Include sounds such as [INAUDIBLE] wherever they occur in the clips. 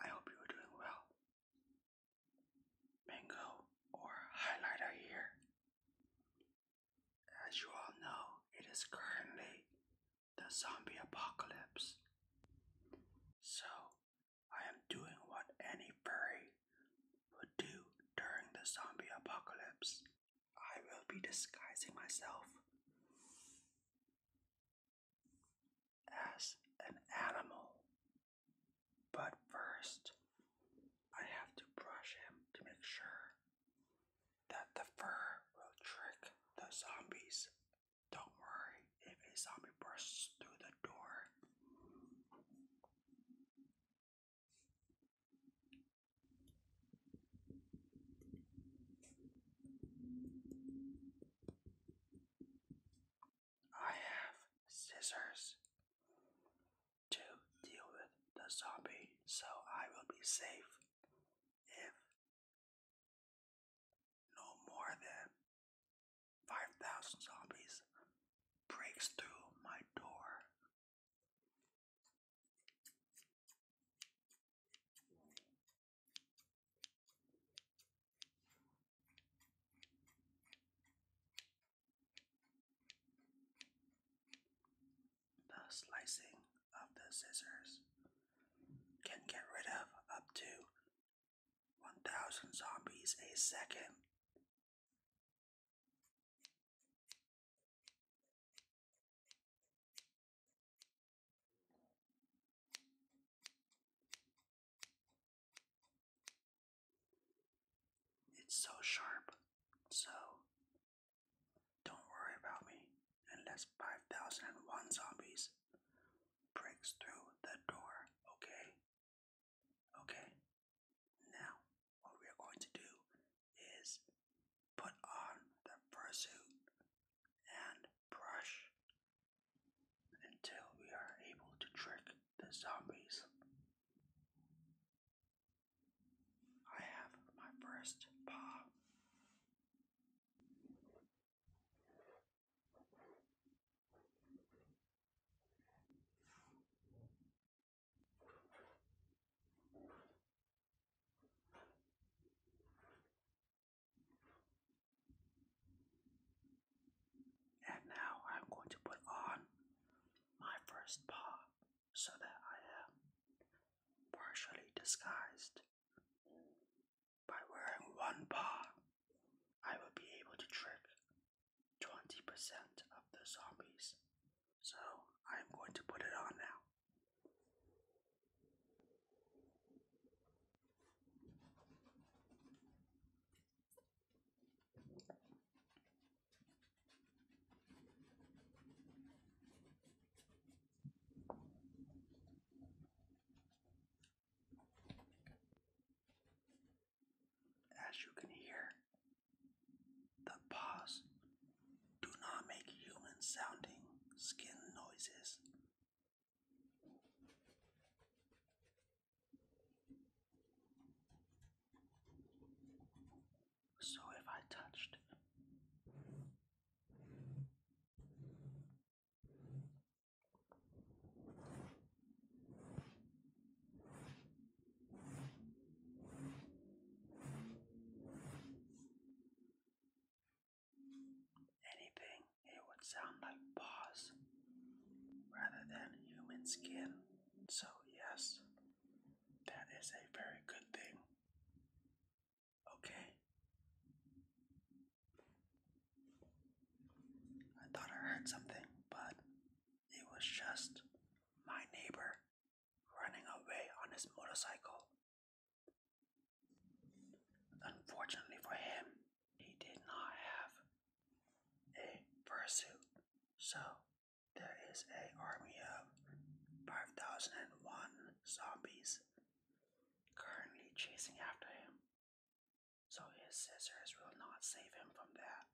I hope you are doing well. Mango or highlighter here. As you all know, it is currently the zombie apocalypse. So, I am doing what any furry would do during the zombie apocalypse. I will be disguising myself as an animal. But first, I have to brush him to make sure that the fur will trick the zombies. Don't worry if a zombie bursts through the door. I have scissors to deal with the zombie, so I will be safe if no more than 5,000 zombies breaks through my door. The slicing of the scissors can get rid of up to 1,000 zombies a second. It's so sharp, so don't worry about me unless 5001 zombies breaks through the door, okay? Okay, now what we are going to do is put on the fursuit and brush until we are able to trick the zombies. I have my first paw. And now I'm going to put on my first paw so that I am partially disguised. By wearing one paw, I will be able to trick 20% of the zombies. So I'm going to put it on now. As you can hear, the paws do not make human sounding skin noises so if I touched anything, it would sound like paws rather than human skin. So, yes, that is a very good thing. Okay. I thought I heard something, but it was just my neighbor running away on his motorcycle. Unfortunately for him, he did not have a pursuit, so there is an army of 5001 zombies currently chasing after him, so his scissors will not save him from that.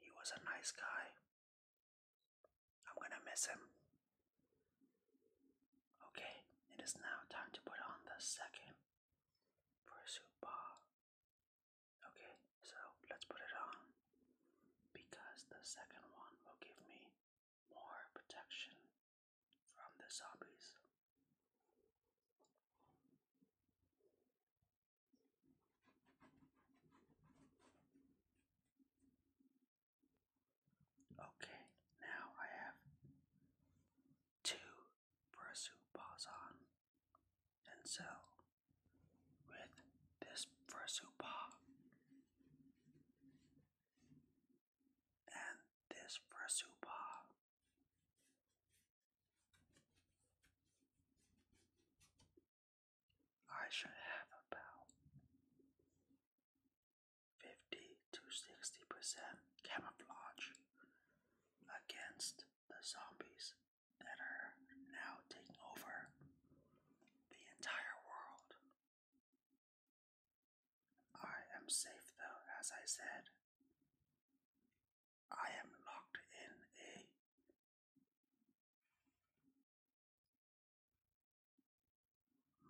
He was a nice guy. I'm gonna miss him. Okay, it is now time to put on the second fursuit bra. Okay, so let's put it on because the second one will give me more protection from the zombies. Okay, now I have two Brasu Bazan. And so, with this Brasu Ba and this Brasu Ba. I should have about 50 to 60% camouflage against the zombies that are now taking over the entire world. I am safe though, as I said. I am locked in a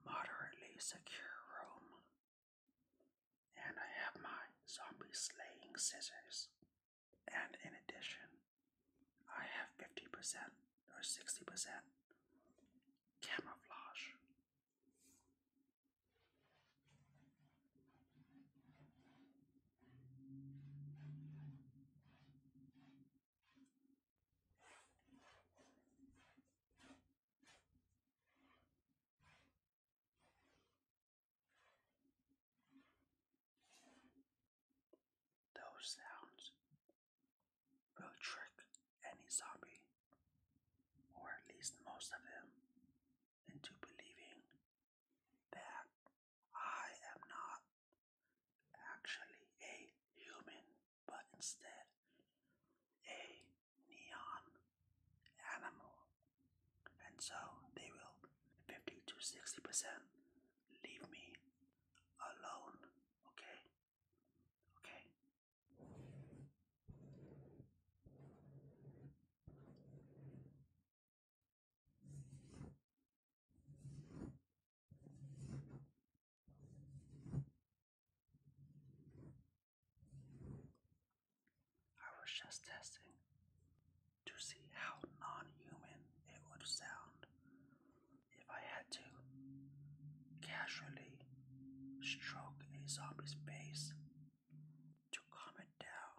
moderately secure room, and I have my zombie slaying scissors. And in addition, I have 50% or 60% camouflage. Those sounds will trick any zombie, or at least most of them, into believing that I am not actually a human but instead a neon animal. And so they will 50 to 60% leave me alone, okay? Okay. I was just testing to see how non human it would sound if I had to casually stroke a zombie's face to calm it down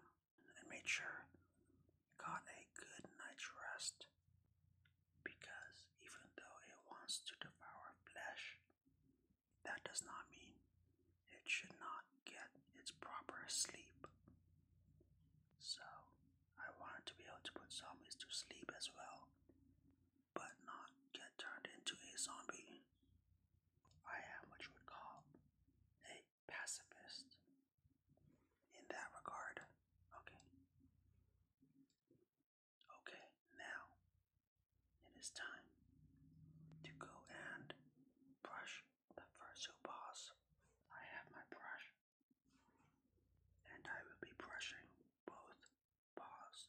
and make sure it got a good night's rest because even though it wants to devour flesh, that does not mean it should not get its proper sleep. So, I wanted to be able to put zombies to sleep as well, but not get turned into a zombie. I am what you would call a pacifist in that regard. Okay. Okay, now it is time to go and brush the fursuit paws. I have my brush, and I will be brushing both paws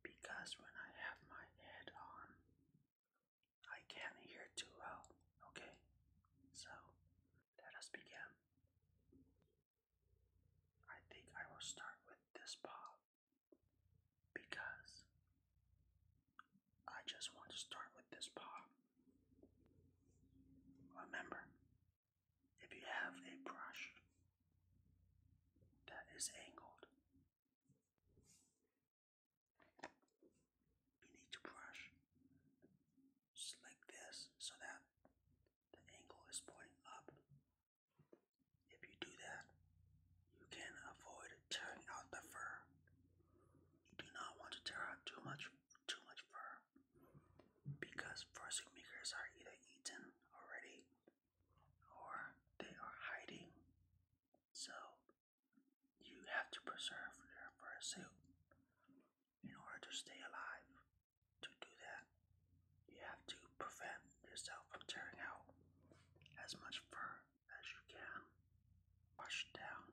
because when I have my head on, I can't hear too well. Okay, so let us begin. I think I will start with this paw because I just want to start with this pop. Remember, if you have a brush that is angled, you need to brush just like this so that the angle is pointing up. If you do that, you can avoid tearing out the fur. You do not want to tear out too much too much fur because fursuit makers are either eaten already or they are hiding. So you have to preserve their fur suit in order to stay alive to do that, you have to prevent yourself from tearing out as much fur as you can. Wash down.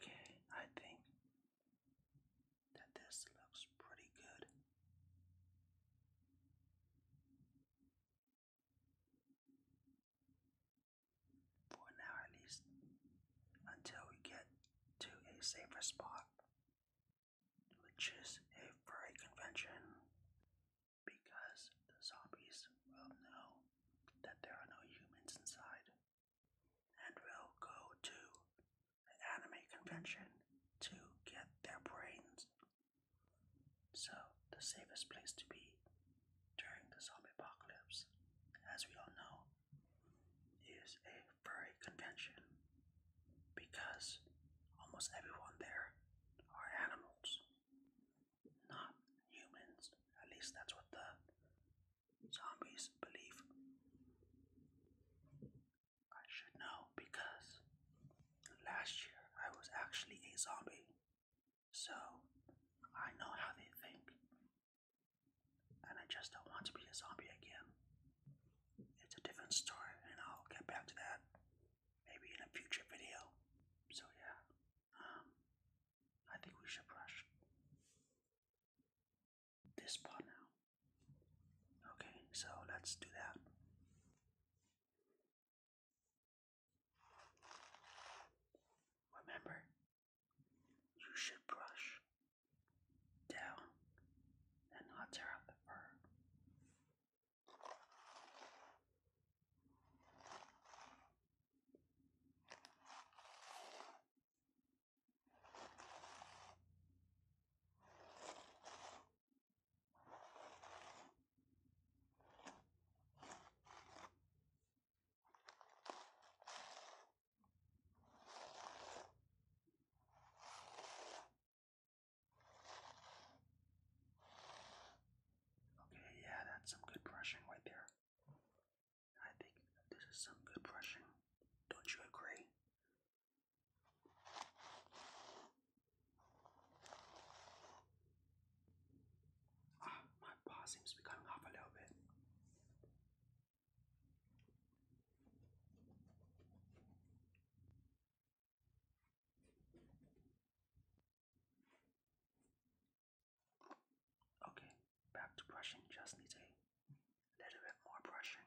Okay, I think that this looks pretty good. For now, at least, until we get to a safer spot, which is a furry convention, because the zombies will know that there are no humans inside, and will go to an anime convention to get their brains. So, the safest place to be during the zombie apocalypse, as we all know, is a furry convention because almost everyone there are animals, not humans. At least that's what the zombies believe. I should know because last year I was actually a zombie, so I know how they think and I just don't want to be a zombie again. It's a different story, and I'll get back to that maybe in a future video. So, yeah, um, I think we should brush this part now. Okay, so let's do that. Remember, you should brush down and not tear up the fur. Okay, yeah, that's some good brushing right there. I think this is some good brushing. Don't you agree? Ah, my paw seems to be coming off a little bit. Okay, back to brushing. Just need a little bit more brushing.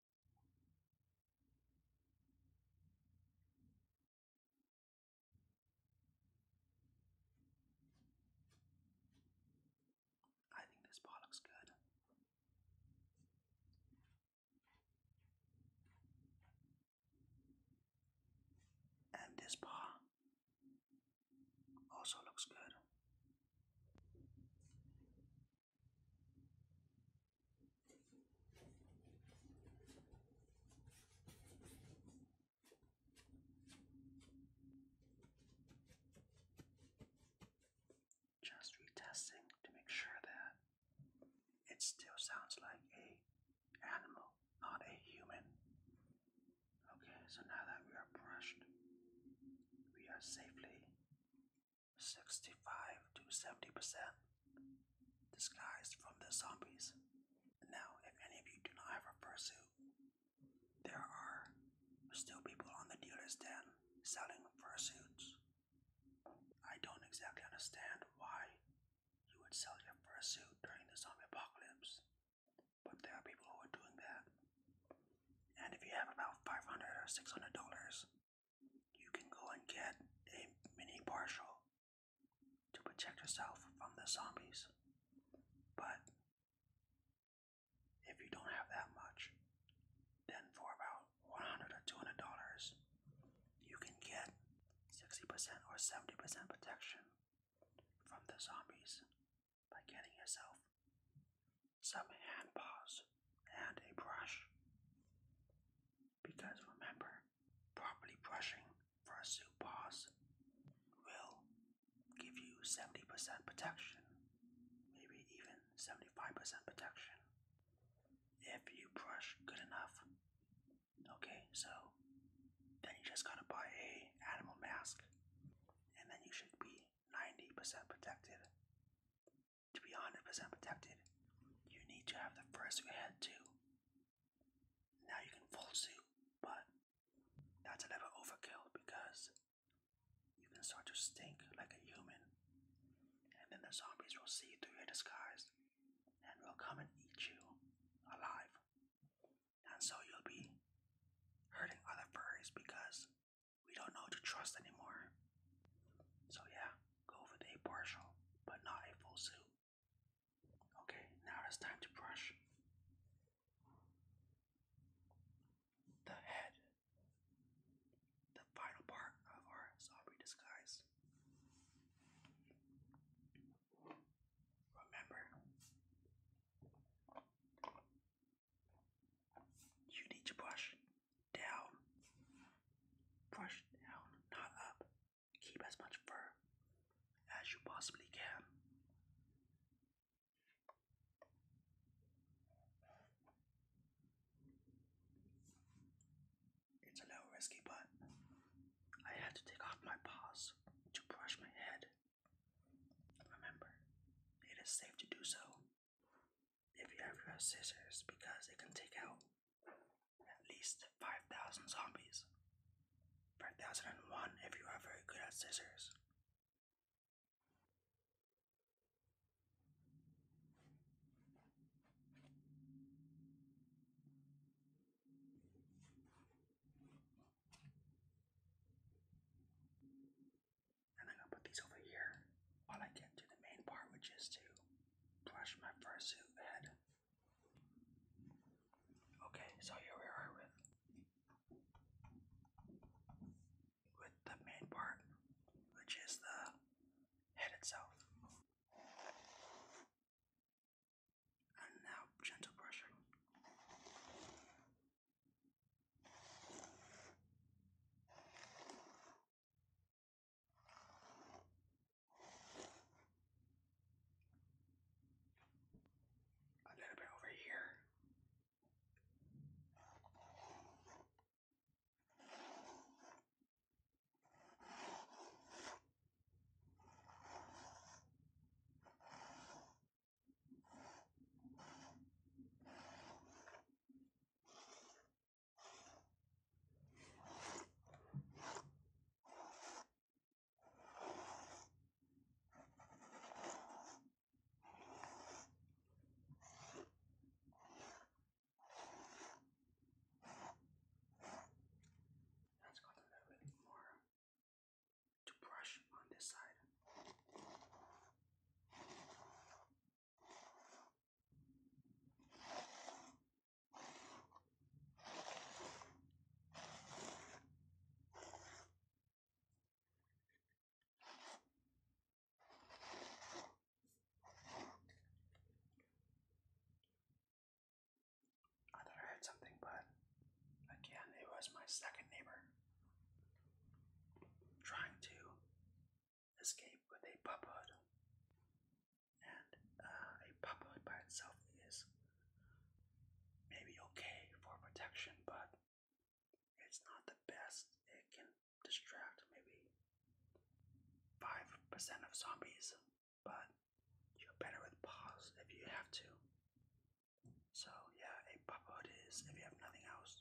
I think this bar looks good. And this bar also looks good. Just retesting to make sure that it still sounds like a animal, not a human. Okay, so now that we are brushed, we are safely 65 to 70% disguised from the zombies. Now, if any of you do not have a fursuit, there are still people on the dealer's stand selling fursuits. I don't exactly understand why you would sell your fursuit during the zombie apocalypse, but there are people who are doing that. And if you have about $500 or $600, you can go and get a mini partial to protect yourself from the zombies. But if you don't have that much, then for about 100 or 200 dollars, you can get 60% or 70% protection from the zombies by getting yourself some hand paws and a brush. Because remember, properly brushing for a soup paws will give you 70% protection, maybe even 75% protection if you brush good enough. Okay, so then you just gotta buy a animal mask and then you should be 90% protected. To be 100% protected, you need to have the fursuit head too. Now you can full suit, but that's a little overkill because you can start to stink like a human, and then the zombies will see through your disguise and will come and eat you alive. And so you'll be hurting other furries because we don't know to trust anymore. So yeah, go with a partial, but not a full suit. Okay, now it's time to brush the head, the final part of our zombie disguise. Remember, you need to brush down, brush down, not up. Keep as much fur as you possibly can. It's a little risky, but I had to take off my paws to brush my head. Remember, it is safe to do so if you have your scissors because it can take out at least 5,000 zombies. 5001 if you are very good at scissors. And I'm gonna put these over here while I get to the main part, which is to brush my fursuit head. Okay, so here we are with with the main part, which is the head itself. And now gentle brushing. A little bit over here. Let's go a little bit more to brush on this side. I thought I heard something, but again, it was my second neighbor trying to escape with a puppet. And uh, a puppet by itself is maybe okay for protection, but it's not the best. It can distract maybe 5% of zombies, but you're better with paws if you have to. So, yeah, a puppet is, if you have nothing else,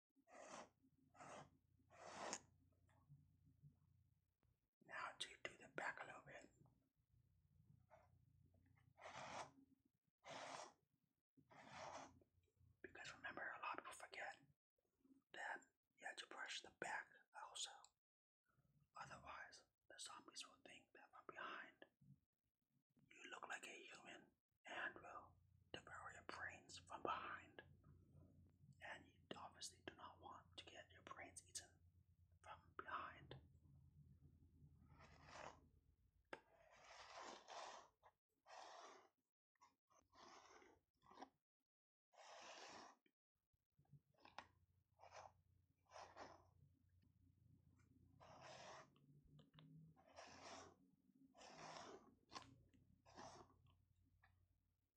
Now to do the back a little bit. Because remember, a lot of people forget that you have to brush the back also. Otherwise, the zombies will think that from behind you look like a human and to burrow your brains from behind. And you obviously do not want to get your brains eaten from behind.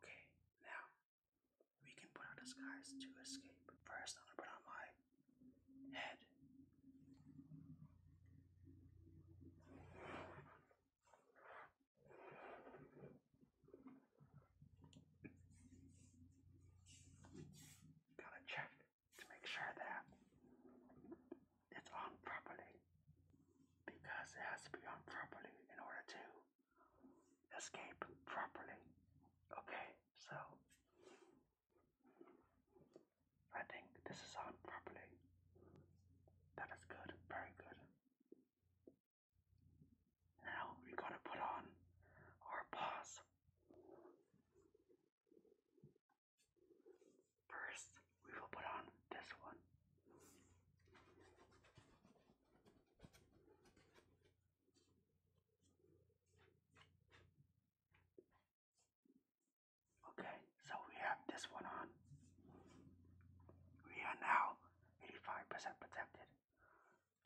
Okay, now we can put on disguise to escape. First, I'm gonna put on my head. Gotta check to make sure that it's on properly because it has to be on properly in order to escape properly. Okay, so I think this is on properly. That is good, very good. Now we're to put on our paws. First, we will put on this one. Okay, so we have this one on. We are now 85% protected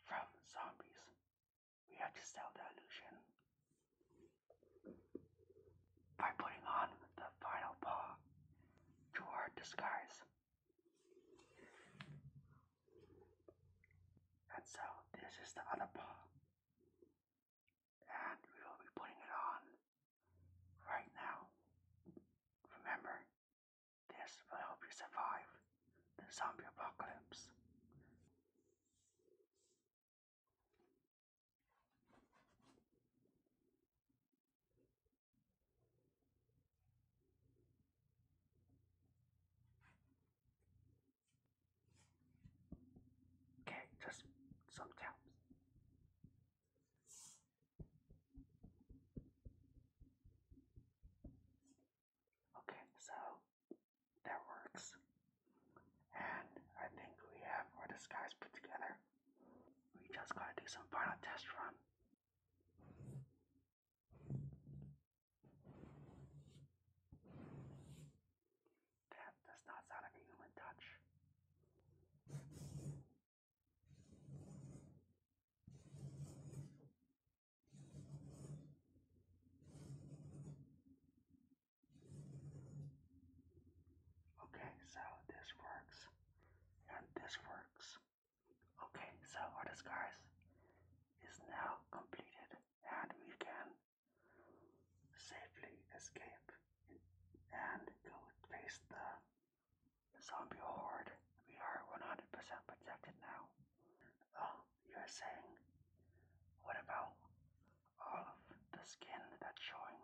from zombies. We have to sell the illusion by putting on the final part. To our disguise. And so this is the other paw. And we will be putting it on right now. Remember, this will help you survive the zombie apocalypse. Okay, just sometimes. Okay, so that works. And I think we have our disguise put together. We just gotta do some final test run. That does not sound like human touch. Okay, so this works and this works. Okay, so our disguise is now completed and we can safely escape and go face the zombie horde. We are 100% protected now. Oh, you're saying, what about all of the skin that's showing?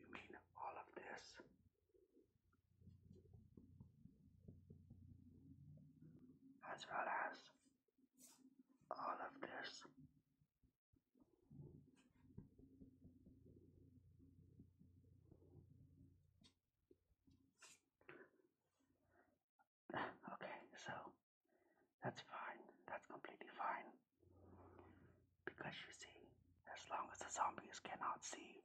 You mean all of this? As well as all of this. [SIGHS] Okay, so that's fine. That's completely fine. Because you see, as long as the zombies cannot see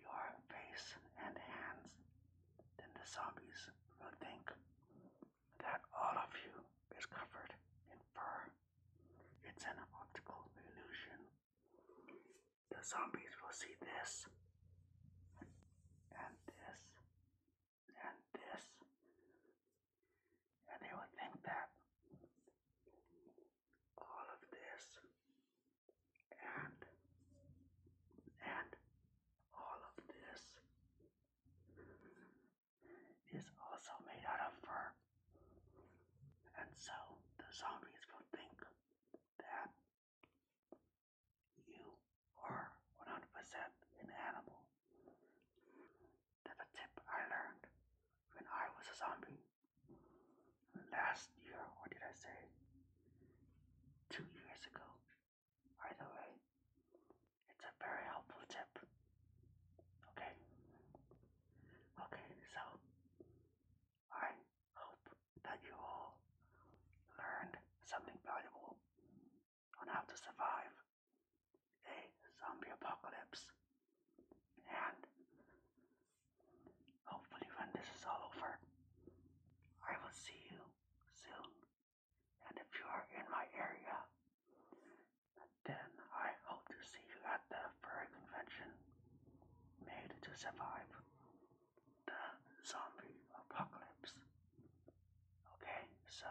your face and hands, then the zombies will think that all of you is covered in fur. It's an optical illusion. The zombies will see this, and this, and this, and they would think that all of this and and all of this is also made out of fur. And so the zombies will think that you are 100% an animal. That's a tip I learned when I was a zombie. Last year, what did I say? Two years ago. Either way, it's a very helpful tip. Okay? Okay, so I hope that you all learned something valuable on how to survive a zombie apocalypse. And hopefully, when this is all over, I will see you soon. And if you are in my area, then I hope to see you at the furry convention made to survive the zombie apocalypse. Okay, so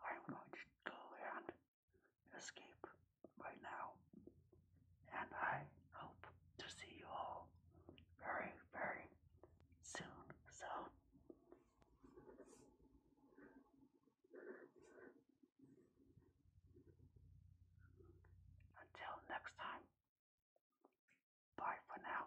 I'm going to go and escape right now. And I hope to see you all very, very soon. So, until next time, bye for now.